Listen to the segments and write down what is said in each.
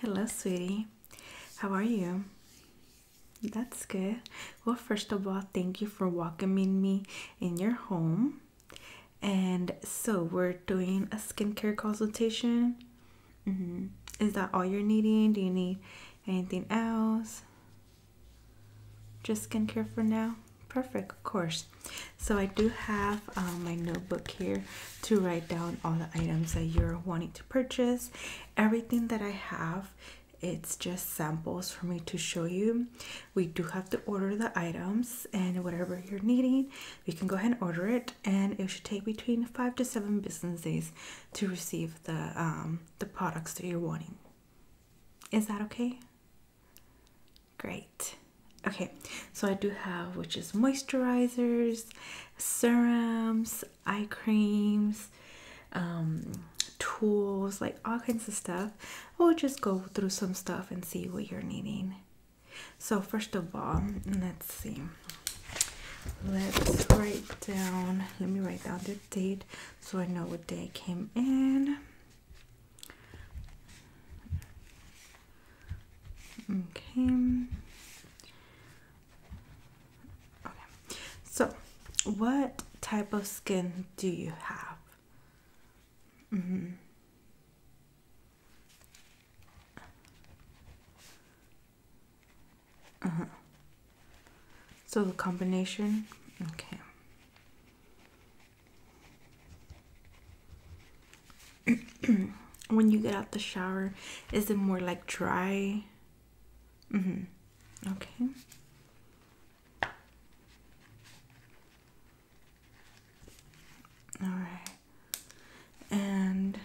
Hello, sweetie. How are you? That's good. Well, first of all, thank you for welcoming me in your home. And so, we're doing a skincare consultation. Mm-hmm. Is that all you're needing? Do you need anything else? Just skincare for now? Perfect, of course. So I do have um, my notebook here to write down all the items that you're wanting to purchase. Everything that I have, it's just samples for me to show you. We do have to order the items and whatever you're needing, you can go ahead and order it. And it should take between five to seven business days to receive the um, the products that you're wanting. Is that okay? Great. Okay, so I do have which is moisturizers, serums, eye creams, um, tools, like all kinds of stuff. We'll just go through some stuff and see what you're needing. So, first of all, let's see. Let's write down, let me write down the date so I know what day I came in. Okay. Okay. So, what type of skin do you have? Mm -hmm. Uh huh. So the combination. Okay. when you get out the shower, is it more like dry? Mm hmm. Okay. All right. And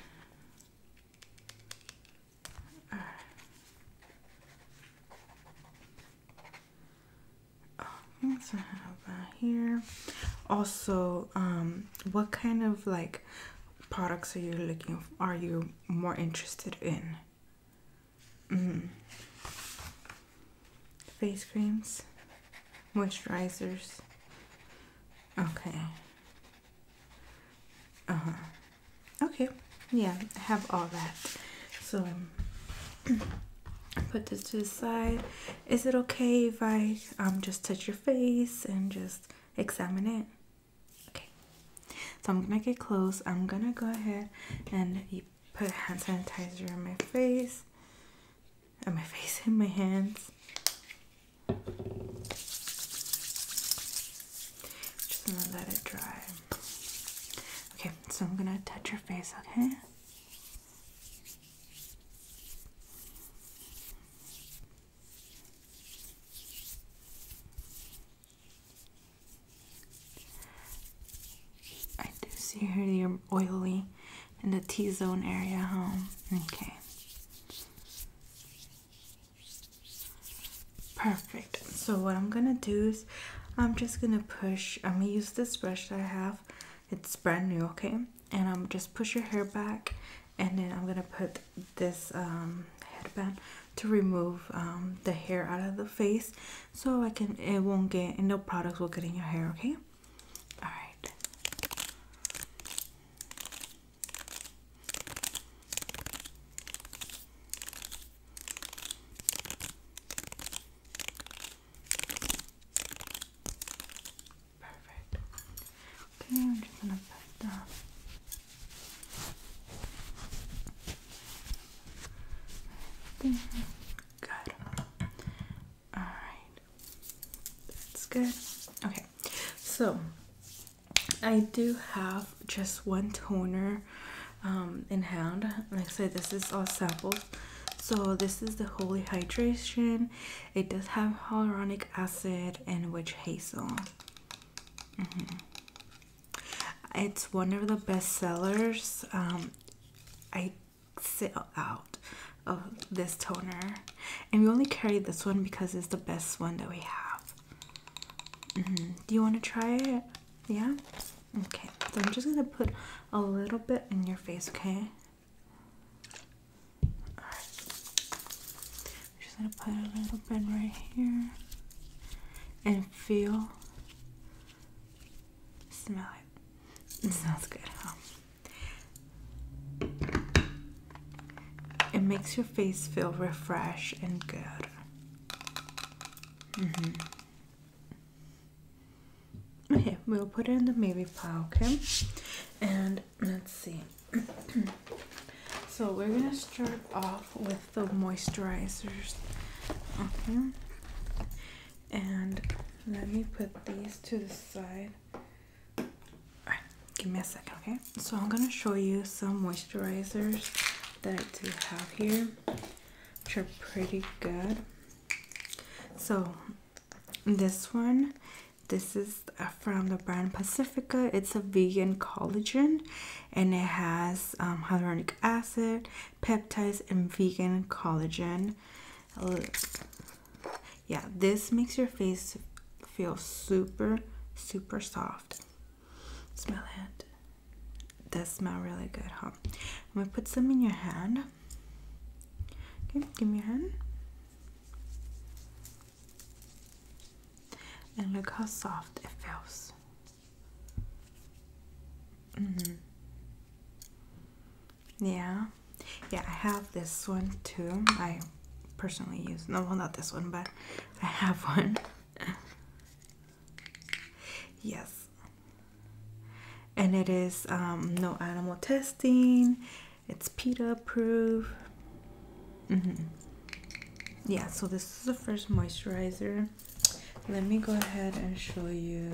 what I have here. Also, um, what kind of like products are you looking? For, are you more interested in? Mm. Face creams, moisturizers. Okay. Uh huh. Okay. Yeah, have all that. So put this to the side. Is it okay if I um just touch your face and just examine it? Okay. So I'm gonna get close. I'm gonna go ahead and put hand sanitizer on my face. and my face and my hands. Just gonna let it dry. Okay, so I'm gonna touch your face, okay? I do see here you're oily in the T zone area, huh? Okay. Perfect. So what I'm gonna do is I'm just gonna push, I'm gonna use this brush that I have it's brand new okay and i'm just push your hair back and then i'm gonna put this um, headband to remove um, the hair out of the face so i can it won't get and no products will get in your hair okay all right Perfect. Okay, I'm just gonna put that. There. Good. Alright. That's good. Okay. So I do have just one toner um, in hand. Like I said, this is all sample, so this is the holy hydration it does have hyaluronic acid and witch hazel mm-hmm. it's one of the best sellers um, i sell out of this toner and we only carry this one because it's the best one that we have mm-hmm. do you want to try it yeah okay so i'm just gonna put a little bit in your face okay I'm just gonna put a little bit right here and feel smell it. It smells good, It makes your face feel refreshed and good. -hmm. Okay, we'll put it in the maybe pile, okay? And let's see. so we're gonna start off with the moisturizers. Okay. And let me put these to the side. Alright, give me a second, okay? So I'm gonna show you some moisturizers that I do have here, which are pretty good. So this one, this is uh, from the brand Pacifica. It's a vegan collagen and it has um, hyaluronic acid, peptides, and vegan collagen. Uh, yeah, this makes your face feel super, super soft. Smell it. Does smell really good, huh? I'm gonna put some in your hand. Okay, give me your hand. And look how soft it feels. Mm -hmm. Yeah, yeah, I have this one too. I personally use no, well, not this one, but I have one. yes, and it is um, no animal testing. It's PETA approved. Mm-hmm. Yeah, so this is the first moisturizer. Let me go ahead and show you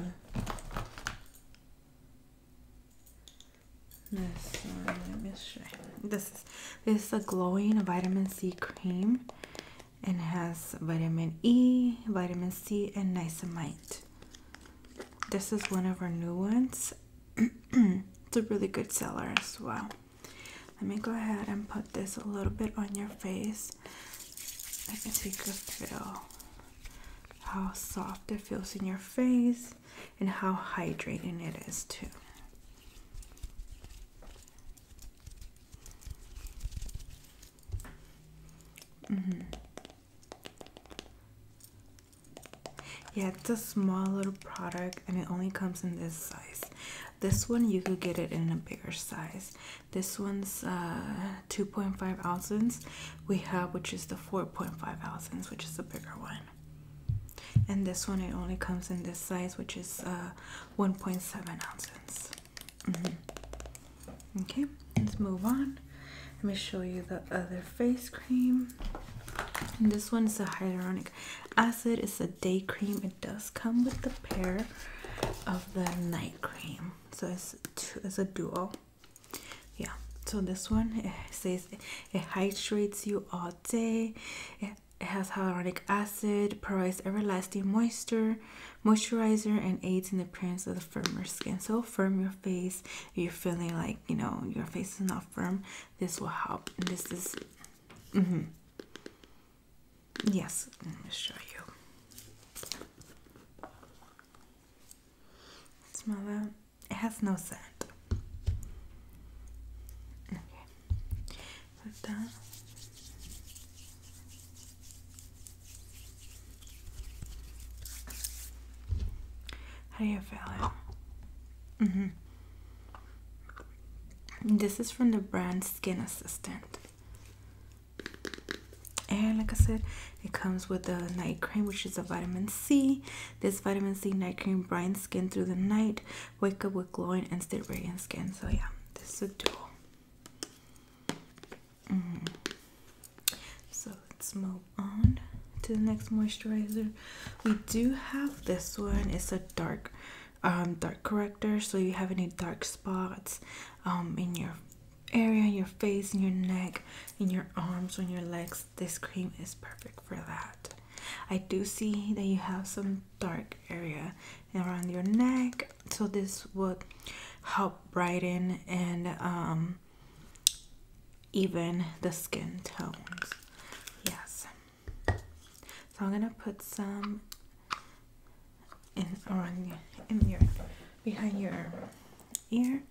this. One. Let me show you. This is this is a glowing vitamin C cream, and has vitamin E, vitamin C, and niacinamide. This is one of our new ones. it's a really good seller as well. Let me go ahead and put this a little bit on your face. I guess you could feel how soft it feels in your face and how hydrating it is too. Mm -hmm. Yeah, it's a small little product and it only comes in this size. This one you could get it in a bigger size. This one's uh, 2.5 ounces. We have which is the 4.5 ounces, which is the bigger one. And this one it only comes in this size, which is uh, 1.7 ounces. Mm-hmm. Okay, let's move on. Let me show you the other face cream. And this one is a hyaluronic acid. It's a day cream. It does come with the pair of the night cream. So it's, it's a duo. Yeah. So this one says it hydrates you all day. It, it has hyaluronic acid, provides everlasting moisture, moisturizer, and aids in the appearance of the firmer skin. So firm your face, you're feeling like you know your face is not firm, this will help. And this is, mm -hmm. yes, let me show you. Smell that? It has no scent. Okay, put that. How do you feel hmm This is from the brand Skin Assistant. And like I said, it comes with a night cream, which is a vitamin C. This vitamin C night cream brightens skin through the night. Wake up with glowing and stay radiant skin. So yeah, this is a duo. Mm-hmm. So let's move on to the next moisturizer. We do have this one. It's a dark, um, dark corrector. So you have any dark spots, um, in your area, in your face, in your neck, in your arms, on your legs. This cream is perfect for that. I do see that you have some dark area around your neck, so this would help brighten and um, even the skin tones. Yes. So I'm gonna put some in around in your behind your ear.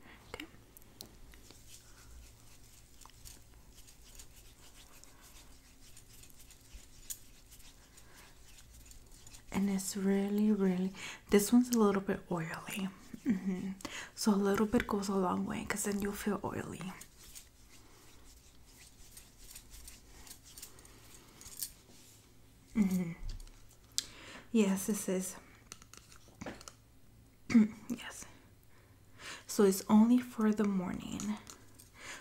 And it's really, really this one's a little bit oily. Mm-hmm. So a little bit goes a long way because then you'll feel oily. Mm-hmm. Yes, this is. yes. So it's only for the morning.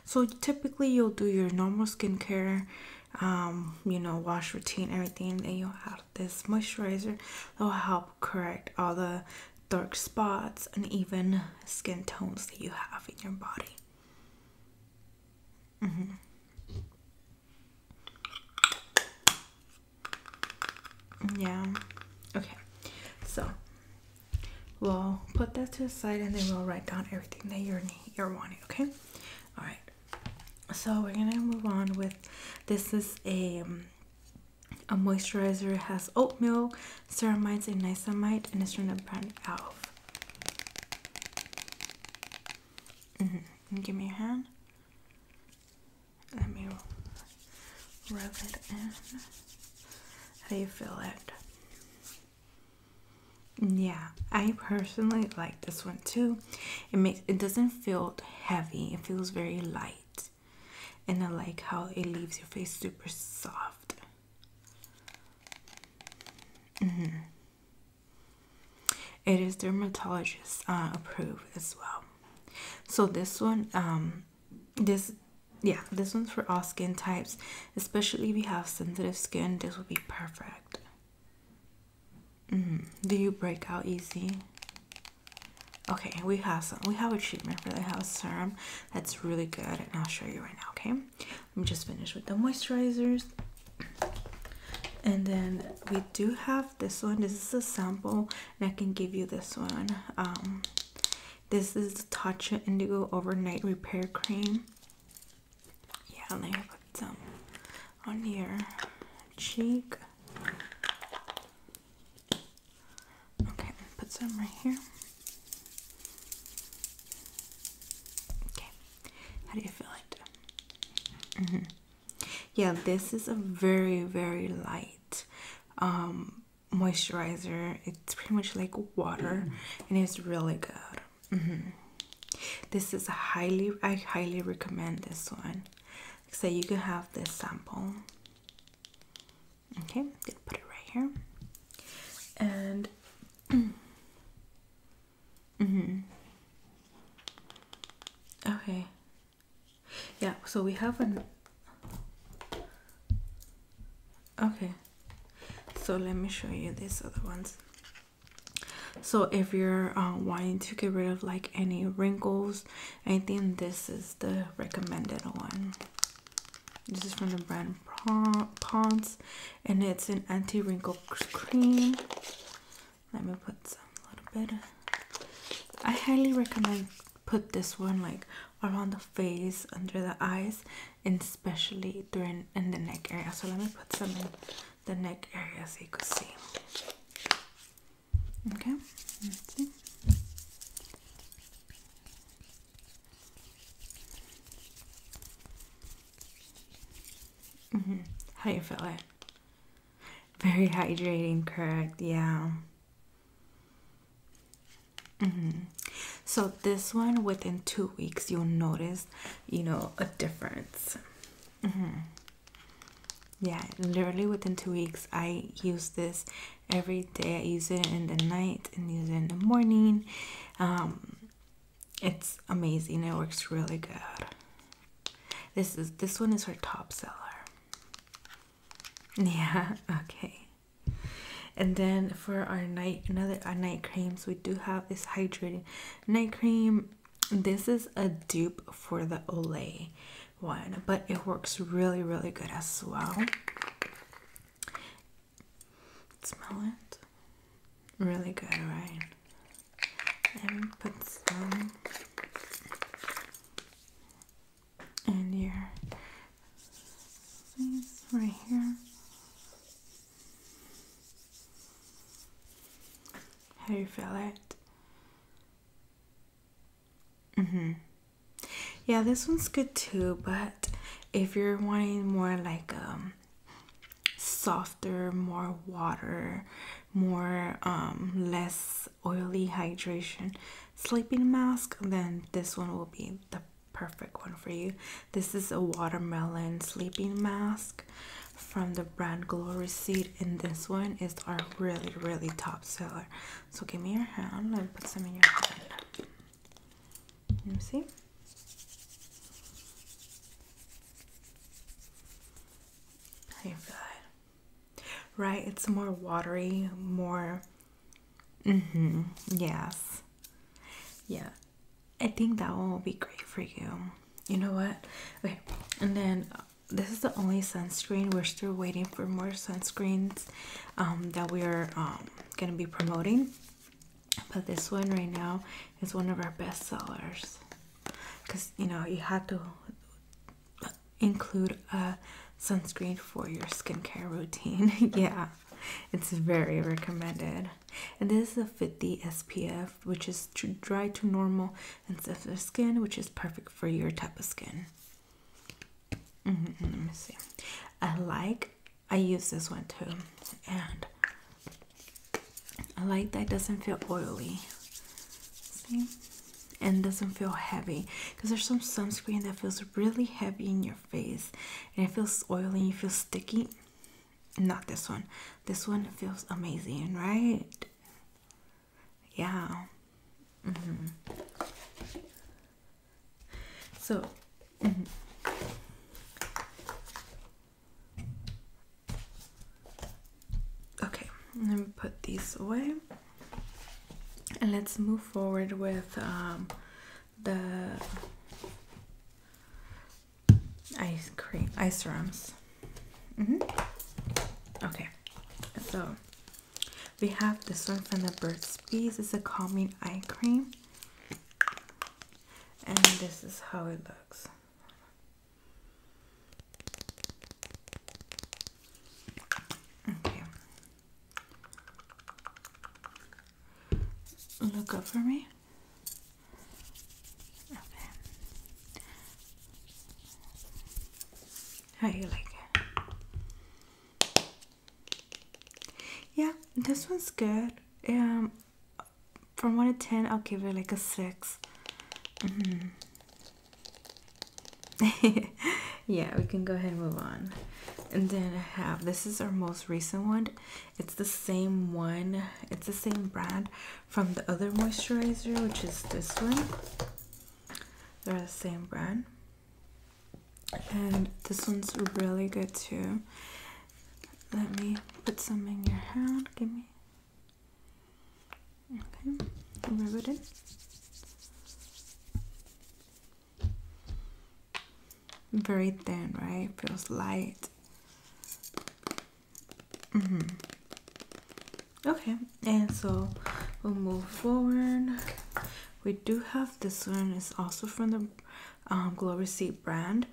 So typically you'll do your normal skincare, um, you know, wash routine, everything, and you'll have this moisturizer. It will help correct all the dark spots and even skin tones that you have in your body. Mm-hmm. Yeah. Okay. So we'll put that to the side and then we'll write down everything that you're, you're wanting, okay? Alright so we're gonna move on with this is a um, a moisturizer it has oatmeal, ceramides and niacinamide and it's from the brand elf mm mm-hmm. give me your hand let me rub it in how do you feel it yeah i personally like this one too it makes it doesn't feel heavy it feels very light and i like how it leaves your face super soft mm-hmm. it is dermatologist uh, approved as well so this one um, this yeah this one's for all skin types especially if you have sensitive skin this would be perfect Mm. Do you break out easy? Okay, we have some. We have a treatment for the house serum that's really good, and I'll show you right now. Okay, I'm just finished with the moisturizers, and then we do have this one. This is a sample, and I can give you this one. Um, this is the Tatcha Indigo Overnight Repair Cream. Yeah, let me put some on here cheek. Okay, put some right here. Okay, how do you feel it? Mm-hmm. Yeah, this is a very, very light um, moisturizer. It's pretty much like water, and it's really good. Mm-hmm. This is highly, I highly recommend this one so you can have this sample okay gonna put it right here and mm-hmm okay yeah so we have an okay so let me show you these other ones so if you're uh, wanting to get rid of like any wrinkles I think this is the recommended one. This is from the brand Ponds and it's an anti wrinkle cream. Let me put some little bit. I highly recommend put this one like around the face, under the eyes, and especially during in the neck area. So let me put some in the neck area so you can see. Okay, see. Mm -hmm. How do you feel it? Very hydrating, correct? Yeah. Mm -hmm. So this one, within two weeks, you'll notice, you know, a difference. Mm -hmm yeah literally within two weeks i use this every day i use it in the night and use it in the morning um, it's amazing it works really good this is this one is her top seller yeah okay and then for our night another our night creams we do have this hydrating night cream this is a dupe for the Olay one, but it works really, really good as well. Smell it. Really good, right? Let put some in here. Right here. How do you feel it? Mm-hmm. Yeah, this one's good too, but if you're wanting more like um softer, more water, more um less oily hydration sleeping mask, then this one will be the perfect one for you. This is a watermelon sleeping mask from the brand Glory Seed, and this one is our really, really top seller. So give me your hand and put some in your hand. Let me see. Right? It's more watery, more. Mm-hmm. Yes. Yeah. I think that one will be great for you. You know what? Okay. And then this is the only sunscreen we're still waiting for more sunscreens um, that we're um, going to be promoting but this one right now is one of our best sellers because you know you have to include a sunscreen for your skincare routine yeah it's very recommended and this is a 50 spf which is to dry to normal and sensitive skin which is perfect for your type of skin. Mm-hmm, mm-hmm, let me see. I like, I use this one too, and I like that it doesn't feel oily. See? And doesn't feel heavy because there's some sunscreen that feels really heavy in your face and it feels oily and you feel sticky. Not this one. This one feels amazing, right? Yeah. Mm -hmm. So. Mm-hmm. Okay, let me put these away. And let's move forward with um, the ice cream, ice creams. Mm -hmm. Okay, so we have this one from the Burt's piece. It's a calming eye cream, and this is how it looks. Okay, look up for me. Okay. How you like it? Yeah, this one's good. Um, from one to ten, I'll give it like a six. Mm-hmm. yeah, we can go ahead and move on. And then I have this is our most recent one. It's the same one. It's the same brand from the other moisturizer, which is this one. They're the same brand. And this one's really good too. Let me put some in your hand. Give me. Okay, rub it in. Very thin, right? Feels light. Mm hmm Okay, and so we'll move forward. We do have this one. It's also from the um, Glow Receipt brand,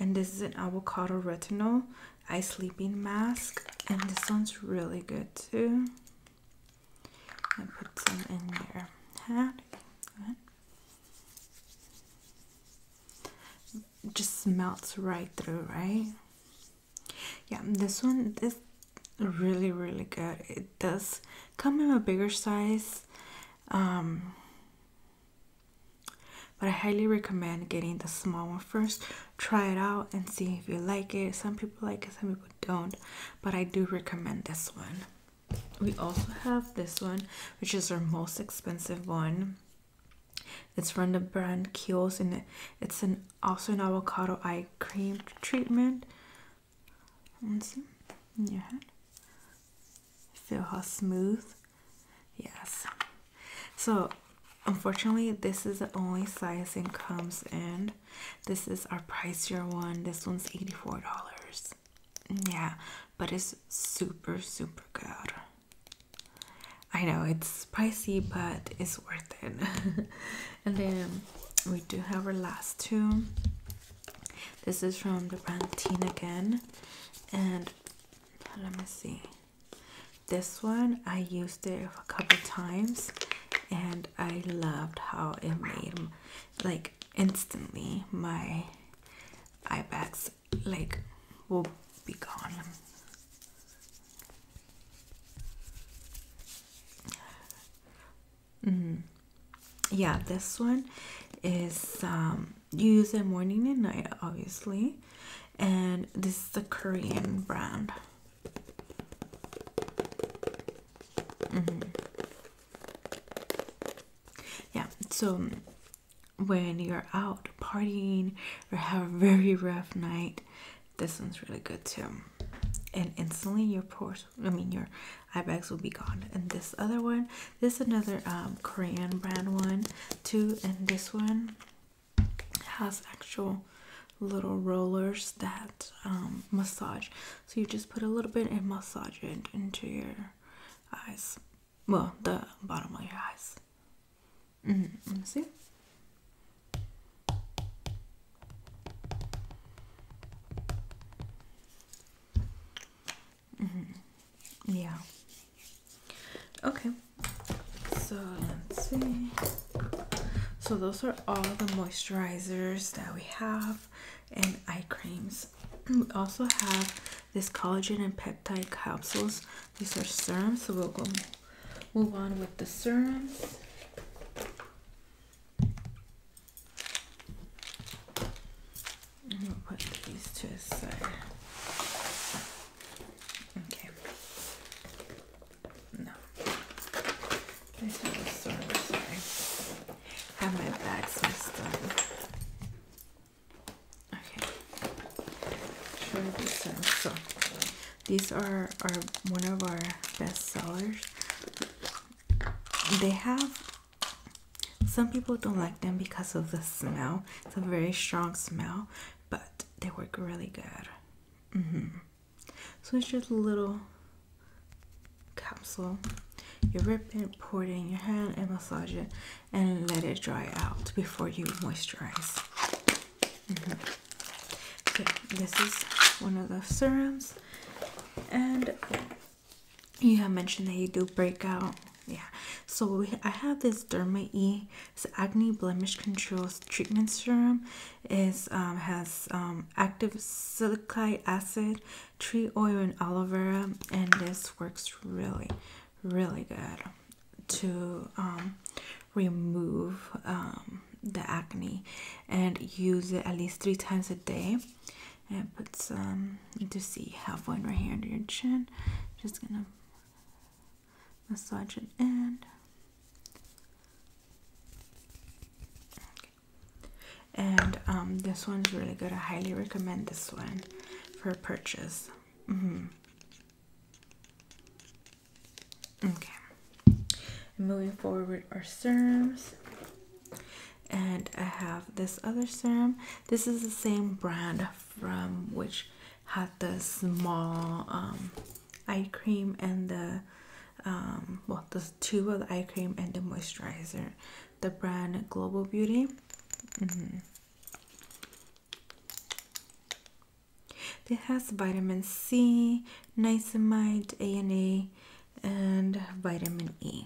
and this is an avocado retinol eye sleeping mask, and this one's really good too. And put some in there. Just melts right through, right? yeah this one is really really good it does come in a bigger size um, but I highly recommend getting the small one first. Try it out and see if you like it. Some people like it, some people don't. But I do recommend this one. We also have this one, which is our most expensive one. It's from the brand Kiehl's and it's an also an avocado eye cream treatment. let Feel how smooth. Yes. So unfortunately this is the only size it comes in. This is our pricier one. This one's $84. Yeah, but it's super super good. I know it's spicy, but it's worth it. and then we do have our last two. This is from the brand Teen again, and let me see. This one I used it a couple times, and I loved how it made like instantly my eye bags like will be gone Mm. Yeah, this one is used um, you morning and night, obviously, and this is the Korean brand. Mm -hmm. Yeah, so um, when you're out partying or have a very rough night, this one's really good too and instantly your pores i mean your eye bags will be gone and this other one this is another um, korean brand one too and this one has actual little rollers that um, massage so you just put a little bit of massage into your eyes well the bottom of your eyes let -hmm. See? Mm -hmm. Yeah. Okay. So let's see. So those are all the moisturizers that we have and eye creams. We also have this collagen and peptide capsules. These are serums, so we'll go move on with the serums. I'm gonna put these to the Okay. No. These are the serums. I have my bags messed up. Okay. Try this out. So these are, are one of our best sellers. They have some people don't like them because of the smell. It's a very strong smell, but they work really good. Mm-hmm. So it's just a little capsule. You rip it, pour it in your hand, and massage it, and let it dry out before you moisturize. Mm this is one of the serums, and you have mentioned that you do breakout. Yeah, so I have this Derma E. It's acne blemish control treatment serum. It um, has um, active silicylic acid, tree oil, and aloe vera, and this works really, really good to um, remove um, the acne and use it at least three times a day and put some to see halfway right here under your chin just gonna massage it in and um, this one's really good I highly recommend this one for purchase mm-hmm. Okay. Moving forward are serums. And I have this other serum. This is the same brand from which had the small um, eye cream and the um, well, the tube of eye cream and the moisturizer. The brand Global Beauty. Mm-hmm. It has vitamin C, niacinamide, A and A, and vitamin E.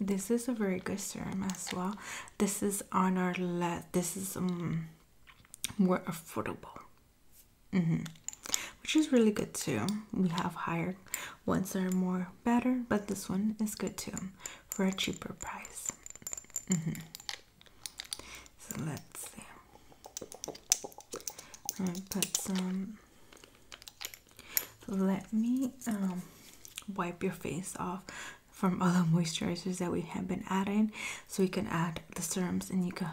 This is a very good serum as well. This is on our list. This is um more affordable, mm-hmm. which is really good too. We have higher ones that are more better, but this one is good too for a cheaper price. Mm-hmm. So let's see. put some. Let me um, wipe your face off from all the moisturizers that we have been adding, so you can add the serums and you can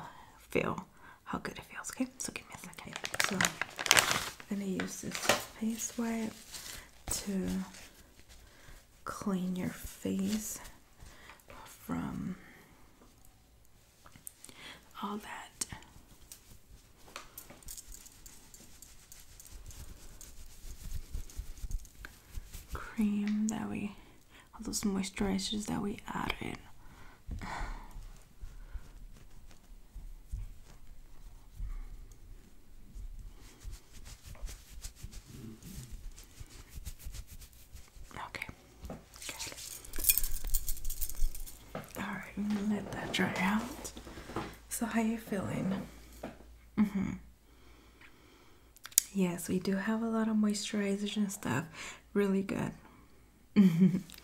feel how good it feels. Okay, so give me a second. So I'm gonna use this face wipe to clean your face from all that cream that we all those moisturizers that we added Okay. Alright, let that dry out. So how you feeling? Mm-hmm. Yes, we do have a lot of moisturizers and stuff. Really good.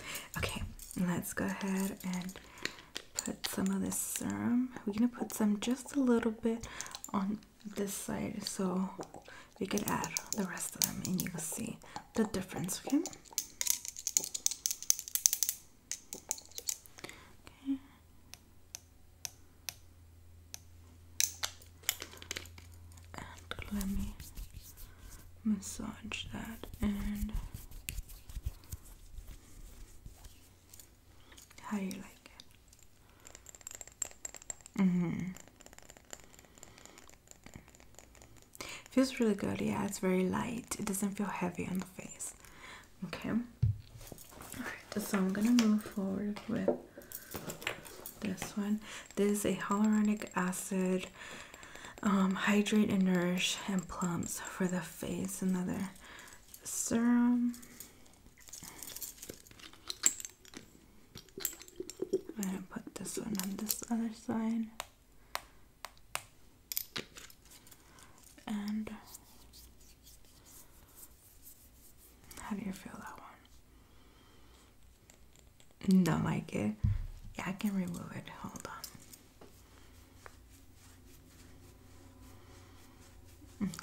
okay, let's go ahead and put some of this serum. We're gonna put some just a little bit on this side so we could add the rest of them and you can see the difference okay okay let me massage that and how you like it? Mm-hmm. Feels really good, yeah. It's very light, it doesn't feel heavy on the face. Okay, Alright, so I'm gonna move forward with this one. This is a hyaluronic acid um, hydrate and nourish and plumps for the face. Another serum. I'm gonna put this one on this other side. And how do you feel that one? Don't like it? Yeah, I can remove it. Hold on.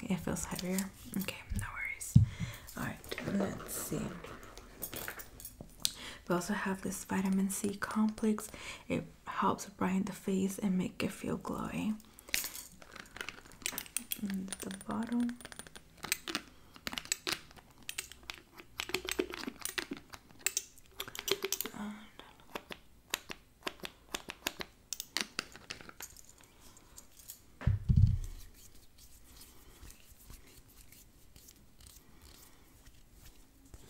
it feels heavier. Okay, no worries. Alright let's see. We also have this vitamin C complex. It helps brighten the face and make it feel glowy. the bottle.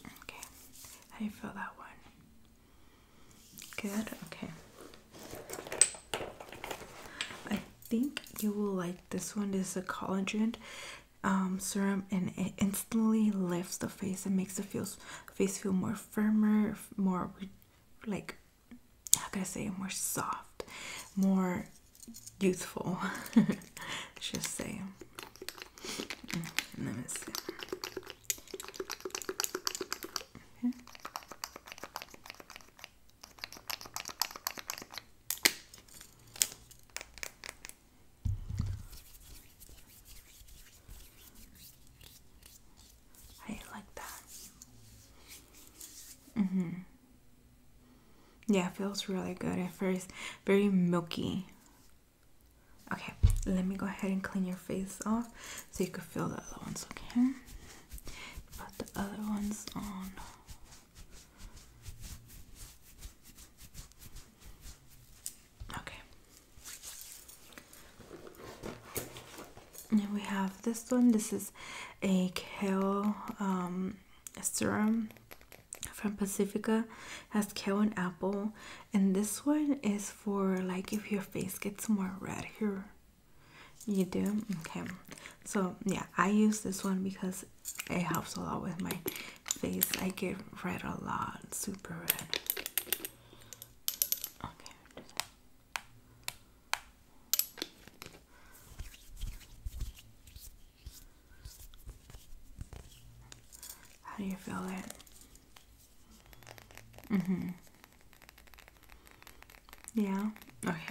Okay, how do you feel that one? Good, okay. I think you will like this one. This is a collagen um, serum and it instantly lifts the face and makes the feels, face feel more firmer, more like how can I say, more soft, more youthful, let's just say. I like that. Mm-hmm. Yeah, it feels really good at first. Very milky. Okay, let me go ahead and clean your face off so you can feel the other ones, okay? Put the other ones on. Okay. And we have this one. This is a kale um, serum from Pacifica. has kale and apple, and this one is for like if your face gets more red here. You do okay. So yeah, I use this one because it helps a lot with my face. I get red a lot, super red. Okay. How do you feel it? Mm hmm. Yeah? Okay.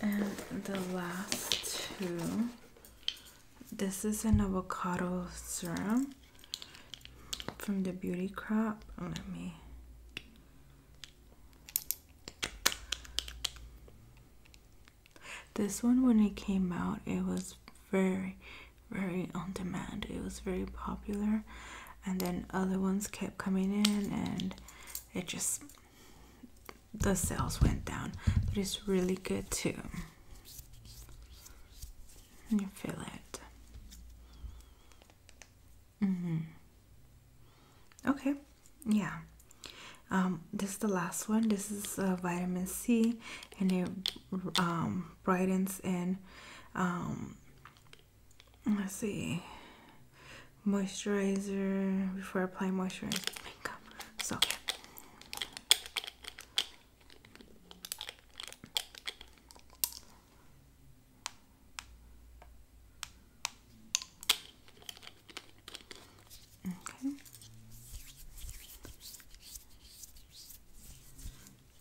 And the last two. This is an avocado serum from the Beauty Crop. Let me this one, when it came out, it was very, very on demand. It was very popular, and then other ones kept coming in, and it just the sales went down. But it's really good too. You feel it. Mm-hmm. Okay, yeah. Um, this is the last one. This is uh, vitamin C, and it um, brightens and um, let's see, moisturizer before applying moisturizer So. Okay.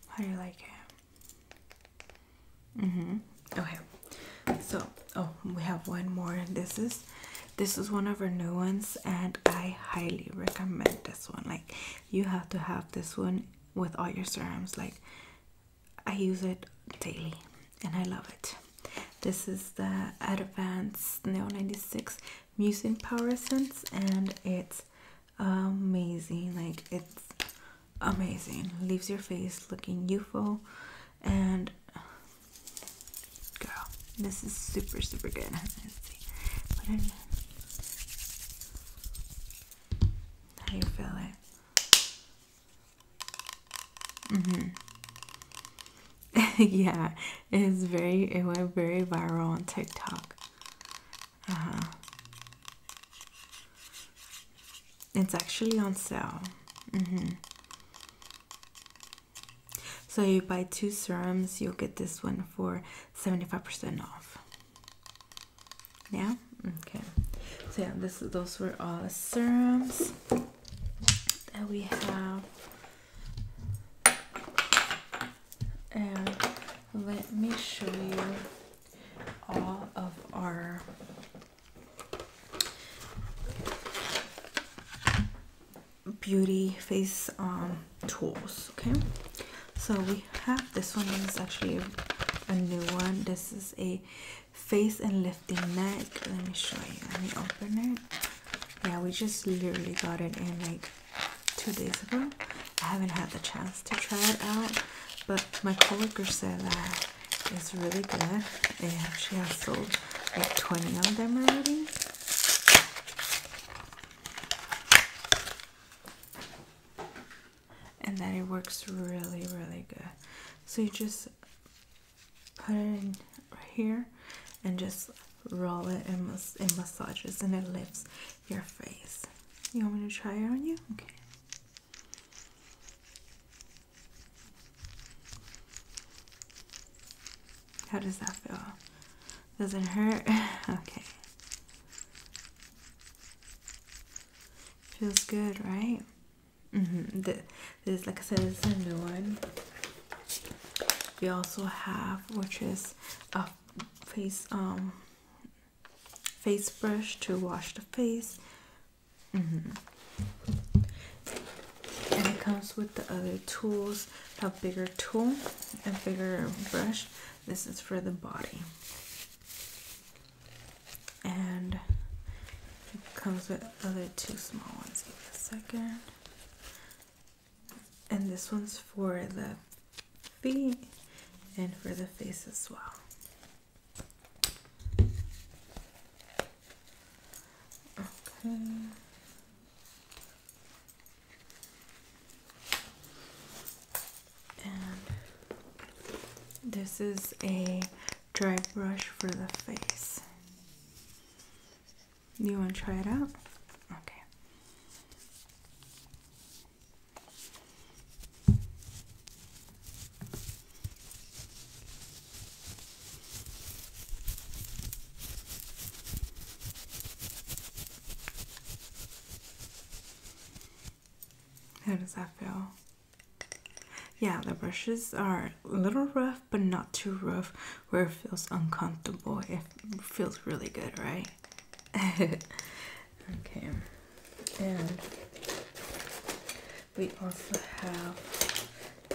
How do you like it? Mm-hmm. Okay. So, oh, we have one more. This is this is one of our new ones and I highly recommend this one. Like you have to have this one with all your serums. Like I use it daily and I love it. This is the Advanced Neo 96 Mucin Power Essence and it's amazing. Like it's amazing. Leaves your face looking youthful and girl, this is super super good. How you feel it? Mm-hmm. yeah, it is very. It went very viral on TikTok. Uh huh. It's actually on sale. Mm-hmm. So you buy two serums, you'll get this one for seventy-five percent off. Yeah. Okay. So yeah, this those were all serums. Then we have and let me show you all of our beauty face um tools okay so we have this one is actually a new one this is a face and lifting neck. Let me show you. Let me open it. Yeah, we just literally got it in like two days ago. I haven't had the chance to try it out, but my coworker said that it's really good. and she has sold like 20 of them already. And that it works really, really good. So you just put it in right here and just roll it and, and massages and it lifts your face. You want me to try it on you? Okay. How does that feel? Doesn't hurt? okay. Feels good, right? Mm -hmm. this, like I said, this is a new one. We also have, which is a face um face brush to wash the face. Mm-hmm. And it comes with the other tools, a bigger tool, and bigger brush. This is for the body and it comes with other two small ones. Give me a second. And this one's for the feet and for the face as well. Okay. And this is a dry brush for the face. You want to try it out? Okay. How does that feel? Yeah, the brushes are a little rough, but not too rough where it feels uncomfortable. It feels really good, right? okay, and we also have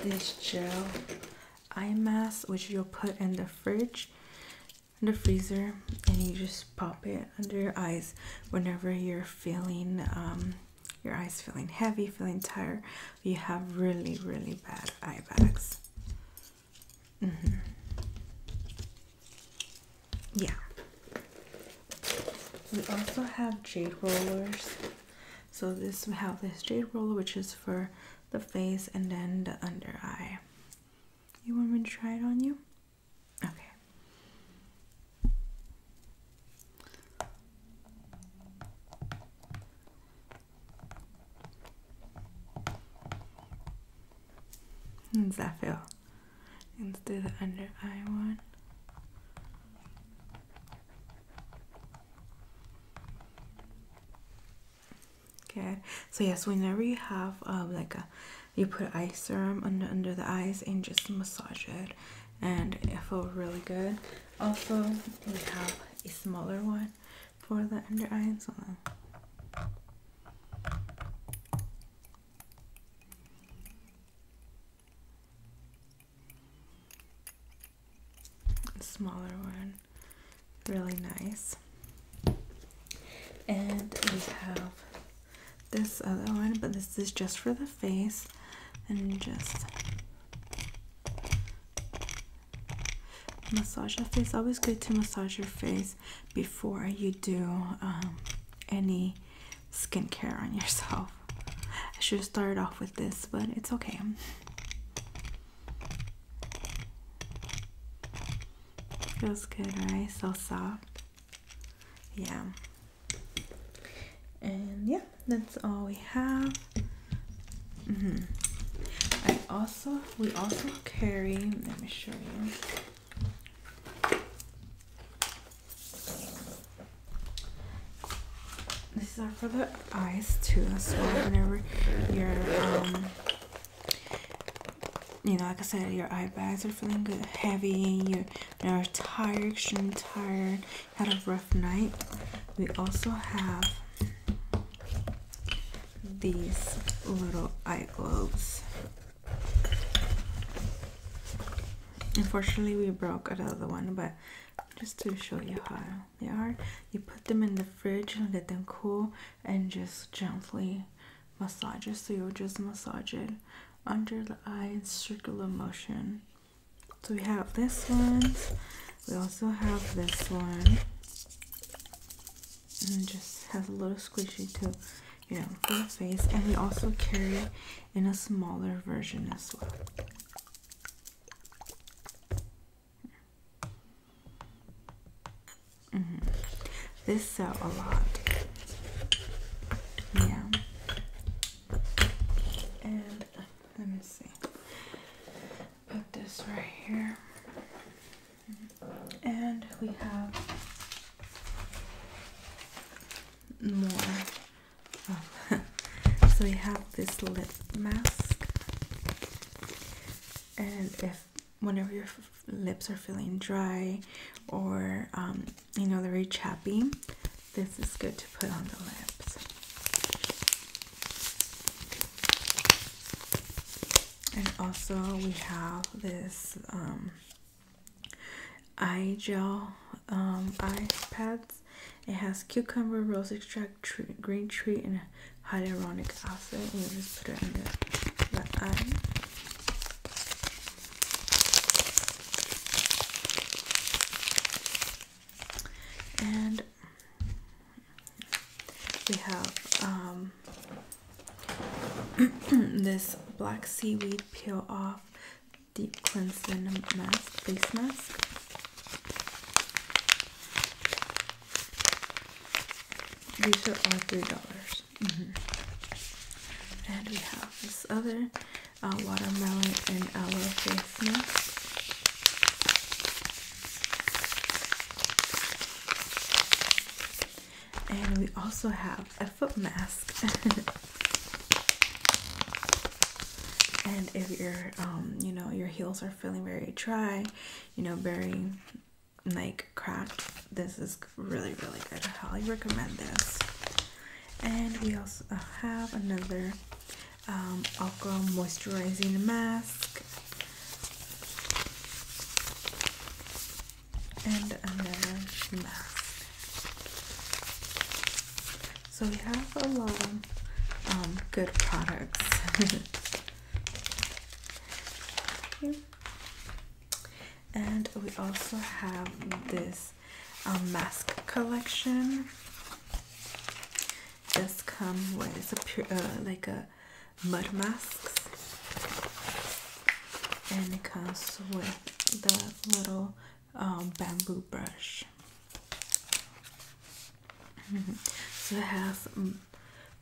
this gel eye mask which you'll put in the fridge in the freezer and you just pop it under your eyes whenever you're feeling um, your eyes feeling heavy, feeling tired, you have really, really bad eye bags. Mm-hmm. Yeah. We also have jade rollers. So this we have this jade roller, which is for the face and then the under eye. You want me to try it on you? Okay. How does that feel? Let's do the under eye one. Okay. So yes, whenever you have um, like a, you put eye serum under under the eyes and just massage it, and it felt really good. Also, we have a smaller one for the under eye. So smaller one really nice and we have this other one but this is just for the face and just massage your face always good to massage your face before you do um, any skincare on yourself i should have started off with this but it's okay feels good right so soft yeah and yeah that's all we have mm-hmm. I also we also carry let me show you This is for the eyes too as well whenever you're um, you know, like I said, your eye bags are feeling heavy heavy, you're and are tired, extremely tired, had a rough night. We also have these little eye globes. Unfortunately, we broke another one, but just to show you how they are, you put them in the fridge and let them cool and just gently massage it. So you'll just massage it under the eye in circular motion so we have this one we also have this one and just has a little squishy to you know for the face and we also carry it in a smaller version as well mm-hmm. this sell a lot yeah and let me see. Put this right here. And we have more. Oh. so we have this lip mask. And if whenever your lips are feeling dry or um, you know they're very chappy this is good to put on the lips. And also we have this um, eye gel um, eye pads. It has cucumber, rose extract, green tree, and hyaluronic acid. And you just put it on the, the eye and we have um, this black seaweed peel off deep cleansing mask face mask these are all three dollars mm-hmm. and we have this other uh, watermelon and aloe face mask. And we also have a foot mask. and if your um you know your heels are feeling very dry, you know, very like cracked, this is really really good. highly recommend this. And we also have another um, alcohol moisturizing mask and another mask so we have a lot of um, good products and we also have this a mask collection. This comes with a pure, uh, like a mud mask, and it comes with the little um, bamboo brush. So it has mm,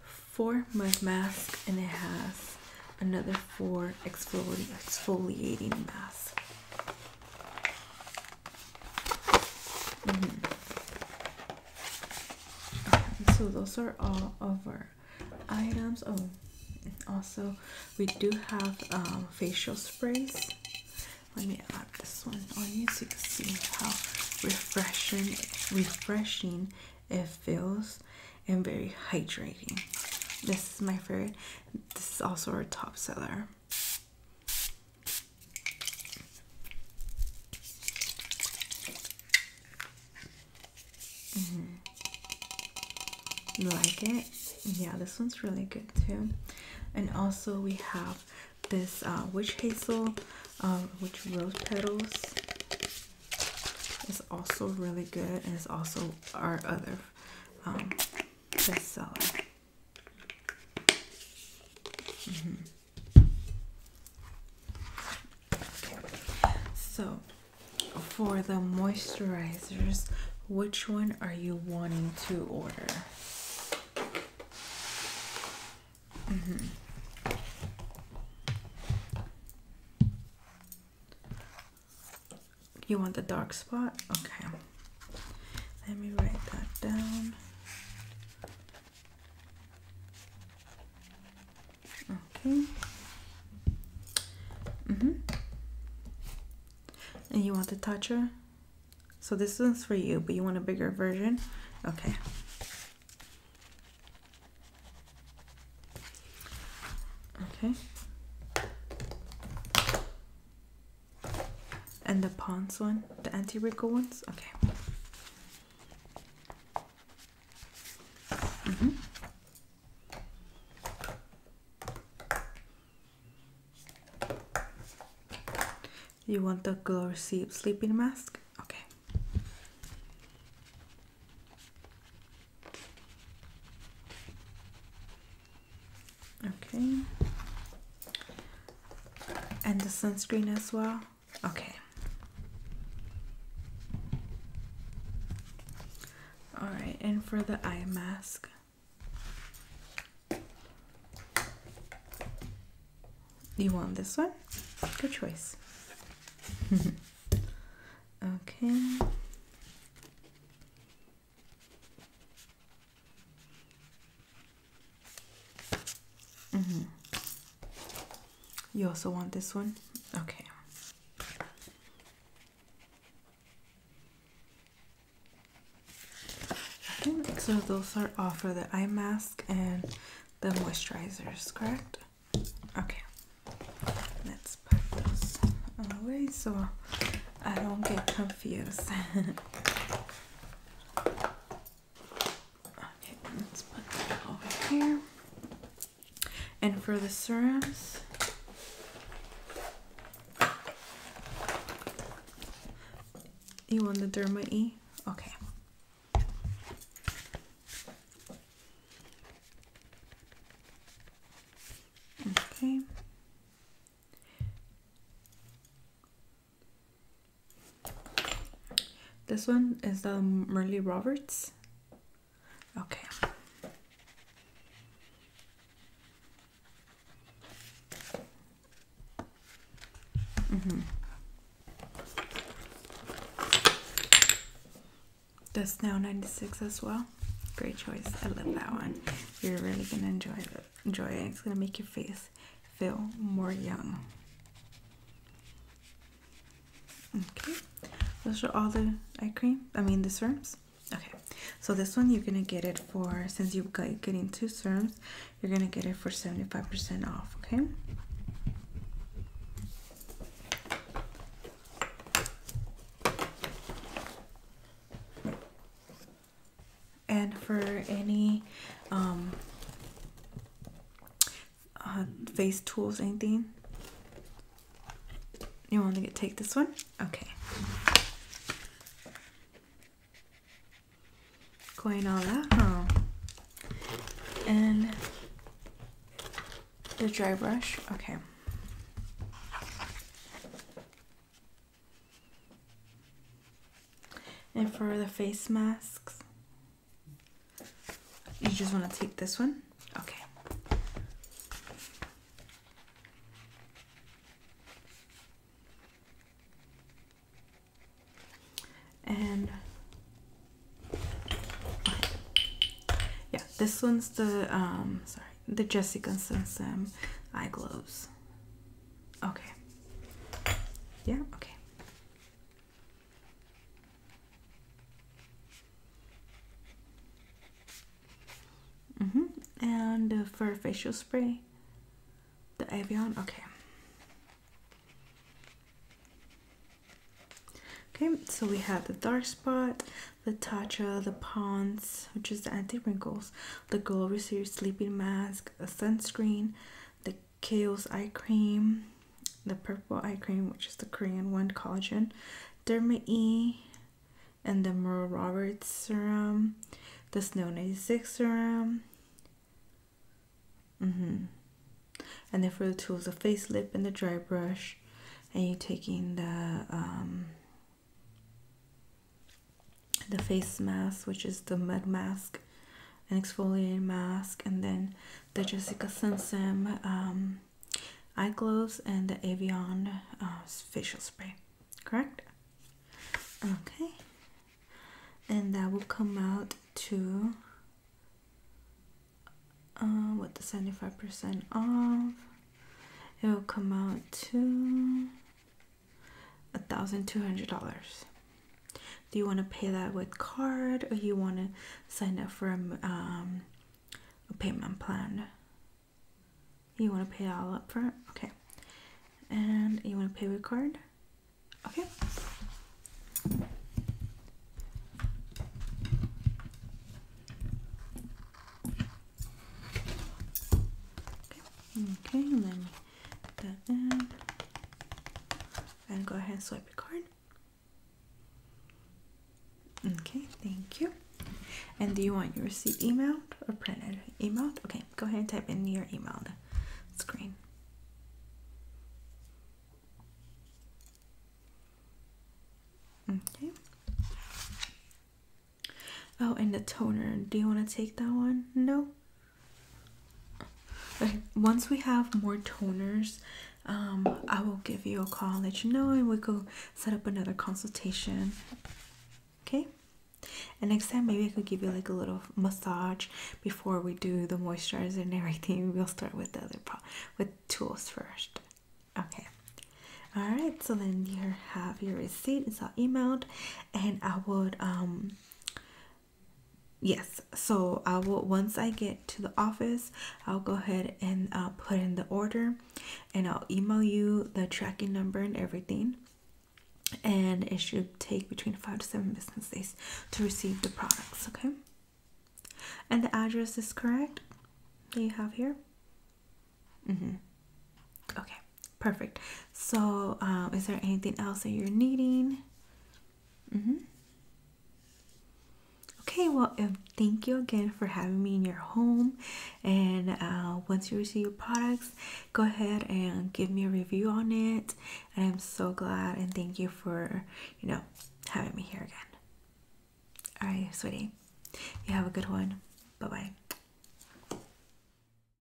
four mud masks, and it has another four exfoliating masks. Mm-hmm. so those are all of our items. Oh, also we do have um, facial sprays. Let me add this one on you so you can see how refreshing, refreshing it feels, and very hydrating. This is my favorite. This is also our top seller. Mm -hmm. Like it? Yeah, this one's really good too. And also, we have this uh, witch hazel, um, which rose petals It's also really good, and it's also our other um, bestseller. Mm-hmm. So, for the moisturizers, which one are you wanting to order? Mm-hmm. You want the dark spot? Okay. Let me write that down. Okay. Mm-hmm. And you want the toucher? So this one's for you, but you want a bigger version? Okay. Okay. And the Pons one? The anti wrinkle ones? Okay. Mm -hmm. You want the glow sleep sleeping mask? Okay. Okay. And the sunscreen as well? Okay. All right, and for the eye mask. You want this one? Good choice. okay. Mm -hmm. You also want this one? Okay. so those are all for the eye mask and the moisturizers, correct? Okay. Let's put those away so I don't get confused. Okay, let's put that over here. And for the serums, you want the Derma E? Okay. Okay. This one is the um, Merle Roberts. Okay. Mm -hmm. That's now 96 as well. Great choice. I love that one. You're really going to enjoy it enjoy it. It's gonna make your face feel more young. Okay, those are all the eye cream. I mean the serums. Okay, so this one you're gonna get it for since you got getting two serums, you're gonna get it for seventy five percent off. Okay and for any um, uh, face tools anything you want to get, take this one okay going and the dry brush okay and for the face masks, you just want to take this one? Okay. And yeah, this one's the um sorry, the Jessica Sam eye gloves. Okay. Yeah, okay. Mm hmm And for facial spray, the Avion. Okay. Okay, so we have the dark spot, the Tatcha, the Ponds, which is the anti wrinkles the girl receives sleeping mask, the sunscreen, the Kiehl's eye cream, the purple eye cream, which is the Korean one, collagen, Derma E, and the Merle Roberts serum, the Snow 96 serum. Mm -hmm. And then for the tools, the face lip and the dry brush, and you taking the um, the face mask, which is the mud mask, an exfoliating mask, and then the Jessica Simpson um, eye gloves and the Avion uh, facial spray. Correct? Okay. And that will come out to uh, what the 75% off. It will come out to $1,200. Do you want to pay that with card or you want to sign up for a, um, payment plan? You want to pay all up front? Okay. And you want to pay with card? Okay. Okay, then and go ahead and swipe your card. Okay, thank you. And do you want your receipt emailed or printed? Emailed? Okay, go ahead and type in your emailed screen. Okay. Oh, and the toner. Do you want to take that one? No? Like once we have more toners, um, I will give you a call, let you know, and we go set up another consultation. Okay. And next time, maybe I could give you like a little massage before we do the moisturizer and everything. We'll start with the other pro with tools first. Okay. All right. So then you have your receipt. It's all emailed, and I would um yes so I will once I get to the office I'll go ahead and uh, put in the order and I'll email you the tracking number and everything and it should take between five to seven business days to receive the products okay and the address is correct that you have here mm-hmm okay perfect. So, um, is there anything else that you're needing? Mm hmm. Okay, well, um, thank you again for having me in your home. And uh, once you receive your products, go ahead and give me a review on it. And I'm so glad and thank you for, you know, having me here again. All right, sweetie, you have a good one. Bye bye.